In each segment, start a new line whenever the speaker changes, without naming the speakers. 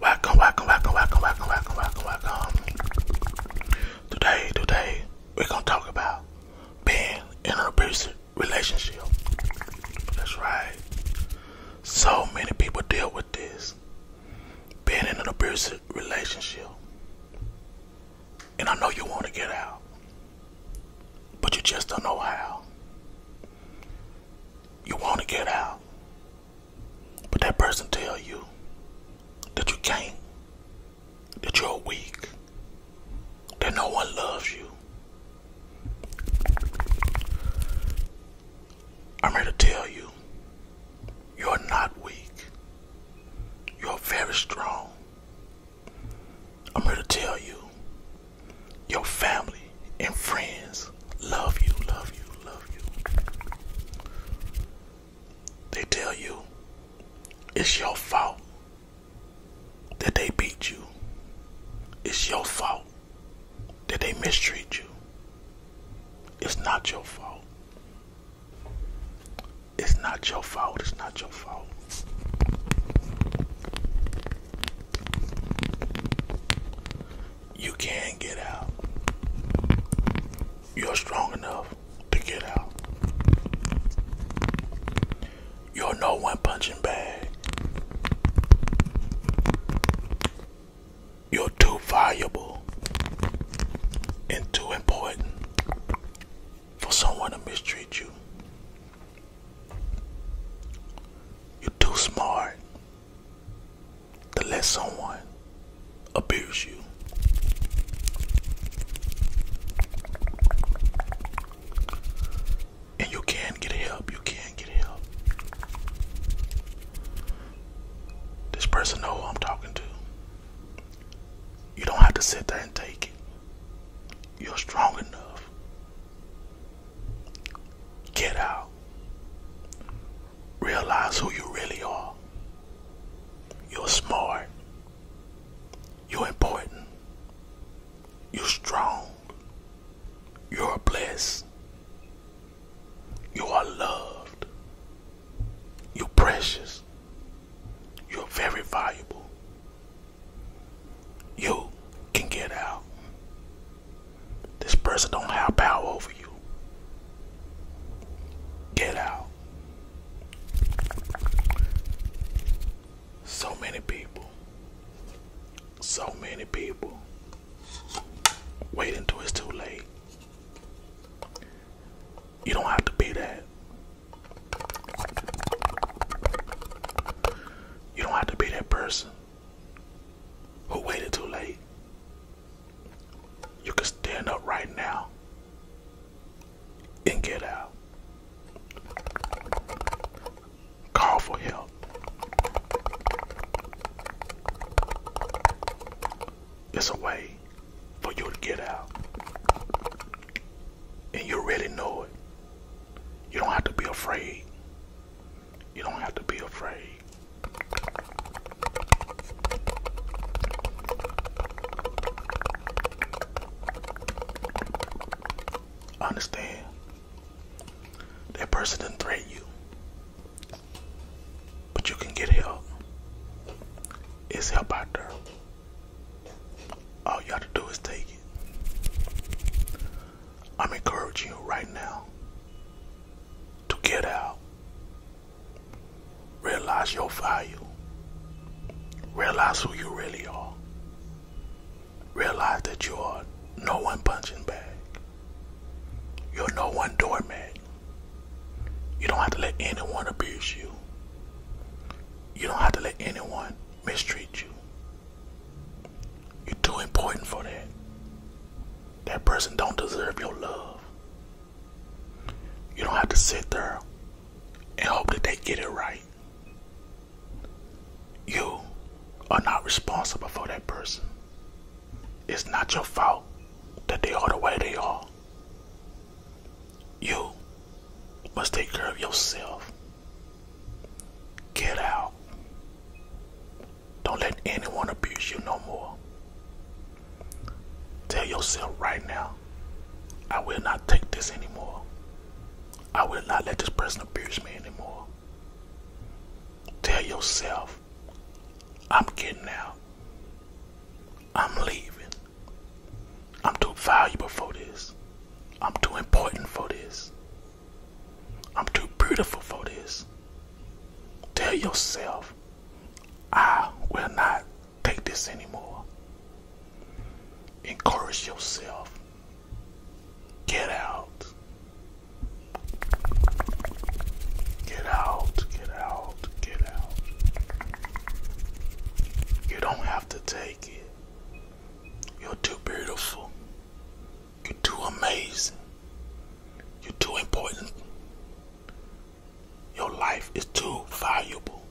Welcome, welcome, welcome, welcome, welcome, welcome, welcome, welcome. Today, today, we're gonna talk about being in an abusive relationship. That's right. So many people deal with this. Being in an abusive relationship. And I know you want to get out, but you just don't know how. You want to get out, but that person tell you that you can't, that you're weak, that no one loves you. I'm here to tell you, you're not weak. You're very strong. I'm here to tell you your family and friends love you, love you, love you. They tell you it's your fault that they beat you, it's your fault that they mistreat you. It's not your fault. It's not your fault. It's not your fault. You can get out. You're strong enough to get out. You're no one punching bag. You're too valuable and too important for someone to mistreat you. You're too smart to let someone abuse you. And you can get help. You can get help. This person know who I'm talking to. You don't have to sit there and take it. You're strong enough. Get out. Realize who you really are. You're smart. You're important. You're strong. You're blessed. You are loved. You're precious. You're very valuable. You can get out. This person don't have power over you. Get out. So many people. So many people. Wait until it's too late. You don't have to be that. You don't have to be that person who waited too late. You can stand up right now and get out. Call for help it's a way for you to get out. And you really know it. You don't have to be afraid. You don't have to be afraid. Understand? That person didn't threaten you. But you can get help. It's help out there. All you have to do is take it. I'm encouraging you right now to get out. Realize your value. Realize who you really are. Realize that you are no one punching bag. You're no one doormat. You don't have to let anyone abuse you. You don't have to let anyone mistreat you. You're too important for that. That person don't deserve your love. You don't have to sit there and hope that they get it right. You are not responsible for that person. It's not your fault that they are the way they are. You must take care of yourself. Get out. Don't let anyone abuse you no more. Tell yourself right now, I will not take this anymore. I will not let this person abuse me anymore. Tell yourself, I'm getting out. I'm leaving. I'm too valuable for this. I'm too important for this. I'm too beautiful for this. Tell yourself, I will not take this anymore. Encourage yourself. Get out. Get out, get out, get out. You don't have to take it. You're too beautiful. You're too amazing. You're too important. Your life is too valuable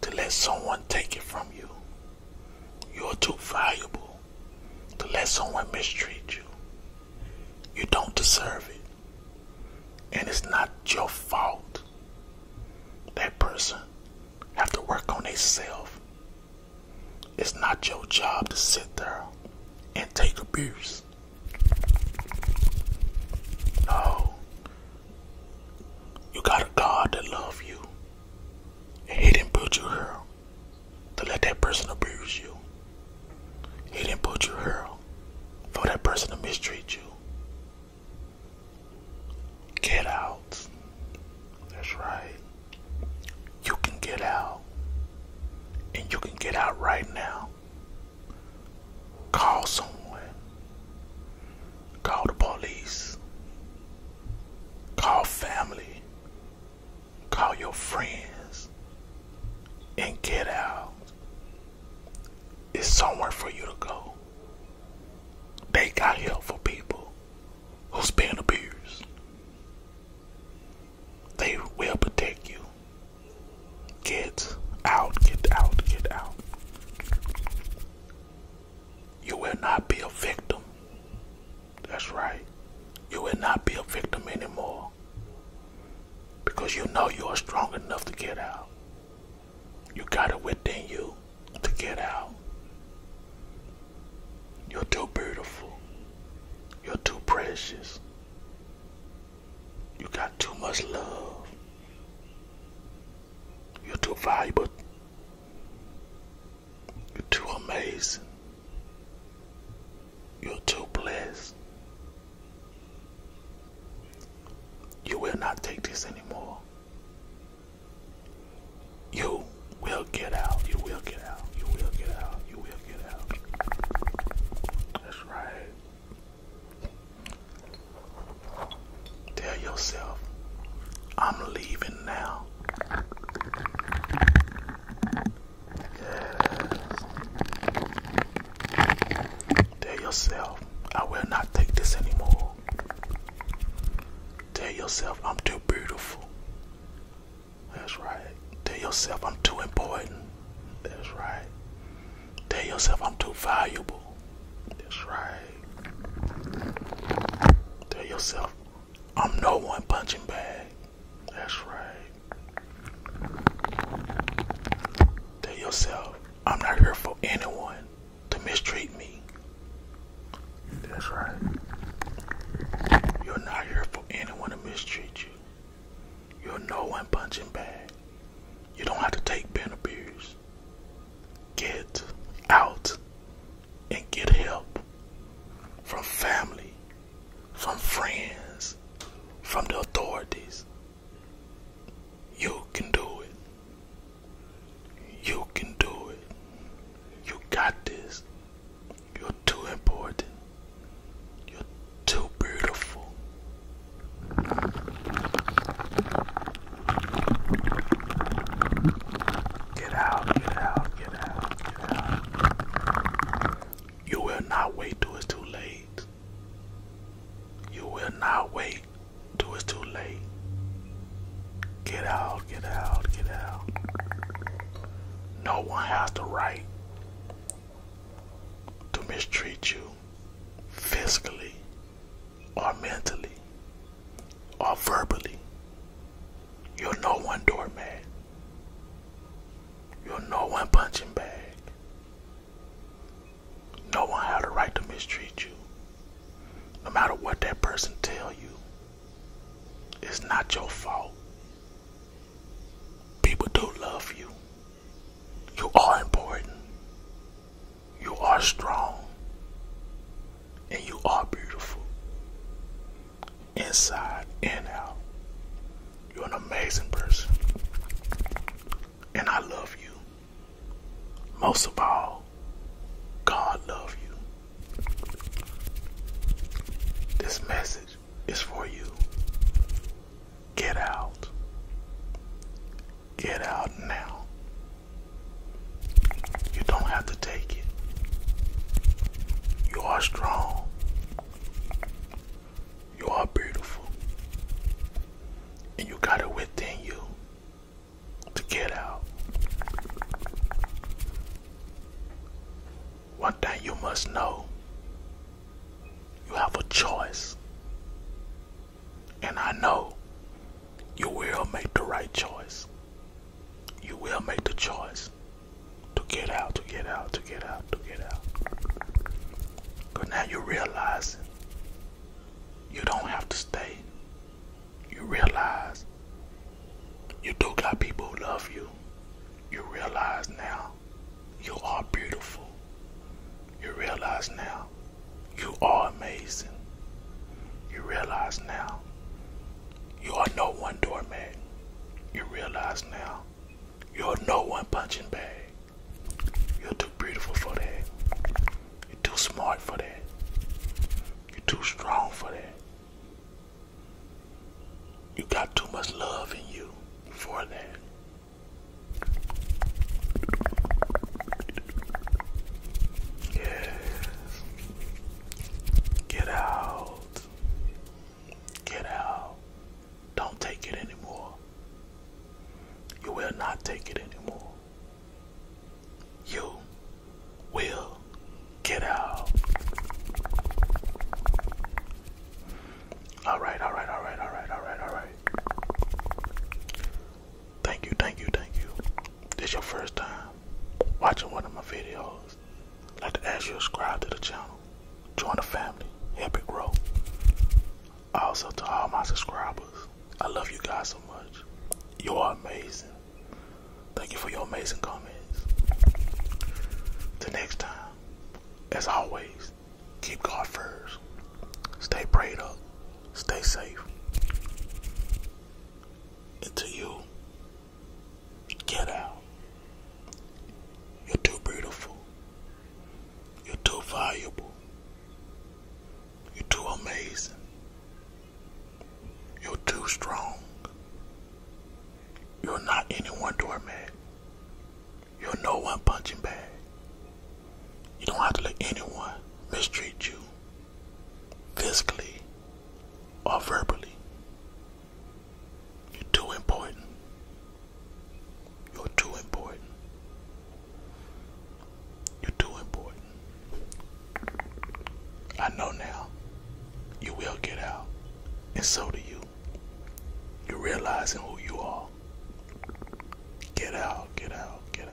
to let someone take it from you. You're too valuable to let someone mistreat you. You don't deserve it. And it's not your fault. That person have to work on self. It's not your job to sit there and take abuse. No. You got a God that love you. he didn't put you here to let that person abuse you. He didn't put you here for that person to mistreat you. Get out. That's right. You can get out. And you can get out right now. Call someone. Call the police. Call family. Call your friends and get out. It's somewhere for you to go. They got help for people who's being abused. They will protect you. Get out, get out, get out. You will not be a victim that's right. You will not be a victim anymore because you know you are strong enough to get out. You got it within you to get out. You're too beautiful. You're too precious. You got too much love. You're too valuable you're too amazing. You're too blessed. You will not take this anymore. You will get out. You will get out. You will get out. You will get out. That's right. Tell yourself, I'm leaving now. Tell yourself, I will not take this anymore. Tell yourself, I'm too beautiful. That's right. Tell yourself, I'm too important. That's right. Tell yourself, I'm too valuable. That's right. Tell yourself, I'm no one punching bag. That's right. Tell yourself, I'm not here for anyone to mistreat me. That's right. You're not here for anyone to mistreat you. You're no one punching bag. You don't have to take Ben Get out and get help from family, from friends, from the authorities. You can do it. You can do it. You got this. You're too important. You're too beautiful. Get out, get out, get out, get out. You will not wait till it's too late. You will not wait till it's too late. Get out, get out, get out. No one has the right to mistreat you physically or mentally or verbally, you are no one doormat. you are no one punching bag. No one has a right to mistreat you. No matter what that person tell you, it's not your fault. People do not love you. You are important. You are strong and you are beautiful inside and out. You're an amazing person, and I love you. Most of all, God love you. This message is for you. Get out. Get out now. You don't have to take it. You are strong. You are beautiful. And you got it within you to get out. One thing you must know you have a choice. And I know you will make the right choice you will make the choice to get out, to get out, to get out, to get out. Because now you realize you don't have to stay. You realize you do got people who love you. You realize now you are beautiful. You realize now you are amazing. You realize now you are no one doormat. You realize now you are no one punching bag. You're too beautiful for that. You're too smart for that. You're too strong for that. You got too much love in you for that. Yes. Get out. Get out. Don't take it anymore. You will not take it anymore. You will get out. All right, all right, all right, all right, all right, all right. Thank you, thank you, thank you. This your first time watching one of my videos. like to ask you subscribe to the channel. Join the family. Help it grow. Also to all my subscribers, I love you guys so much. You are amazing. Thank you for your amazing comments. The next time, as always, keep God first. Stay prayed up. Stay safe until you get out. You're too beautiful. You're too valuable. You're too amazing. You're too strong. You're not any one doormat. You're no one punching bag. You don't have to let anyone mistreat you physically or verbally. You're too important. You're too important. You're too important. I know now. You will get out. And so do you. You're realizing who you are. Get out, get out, get out.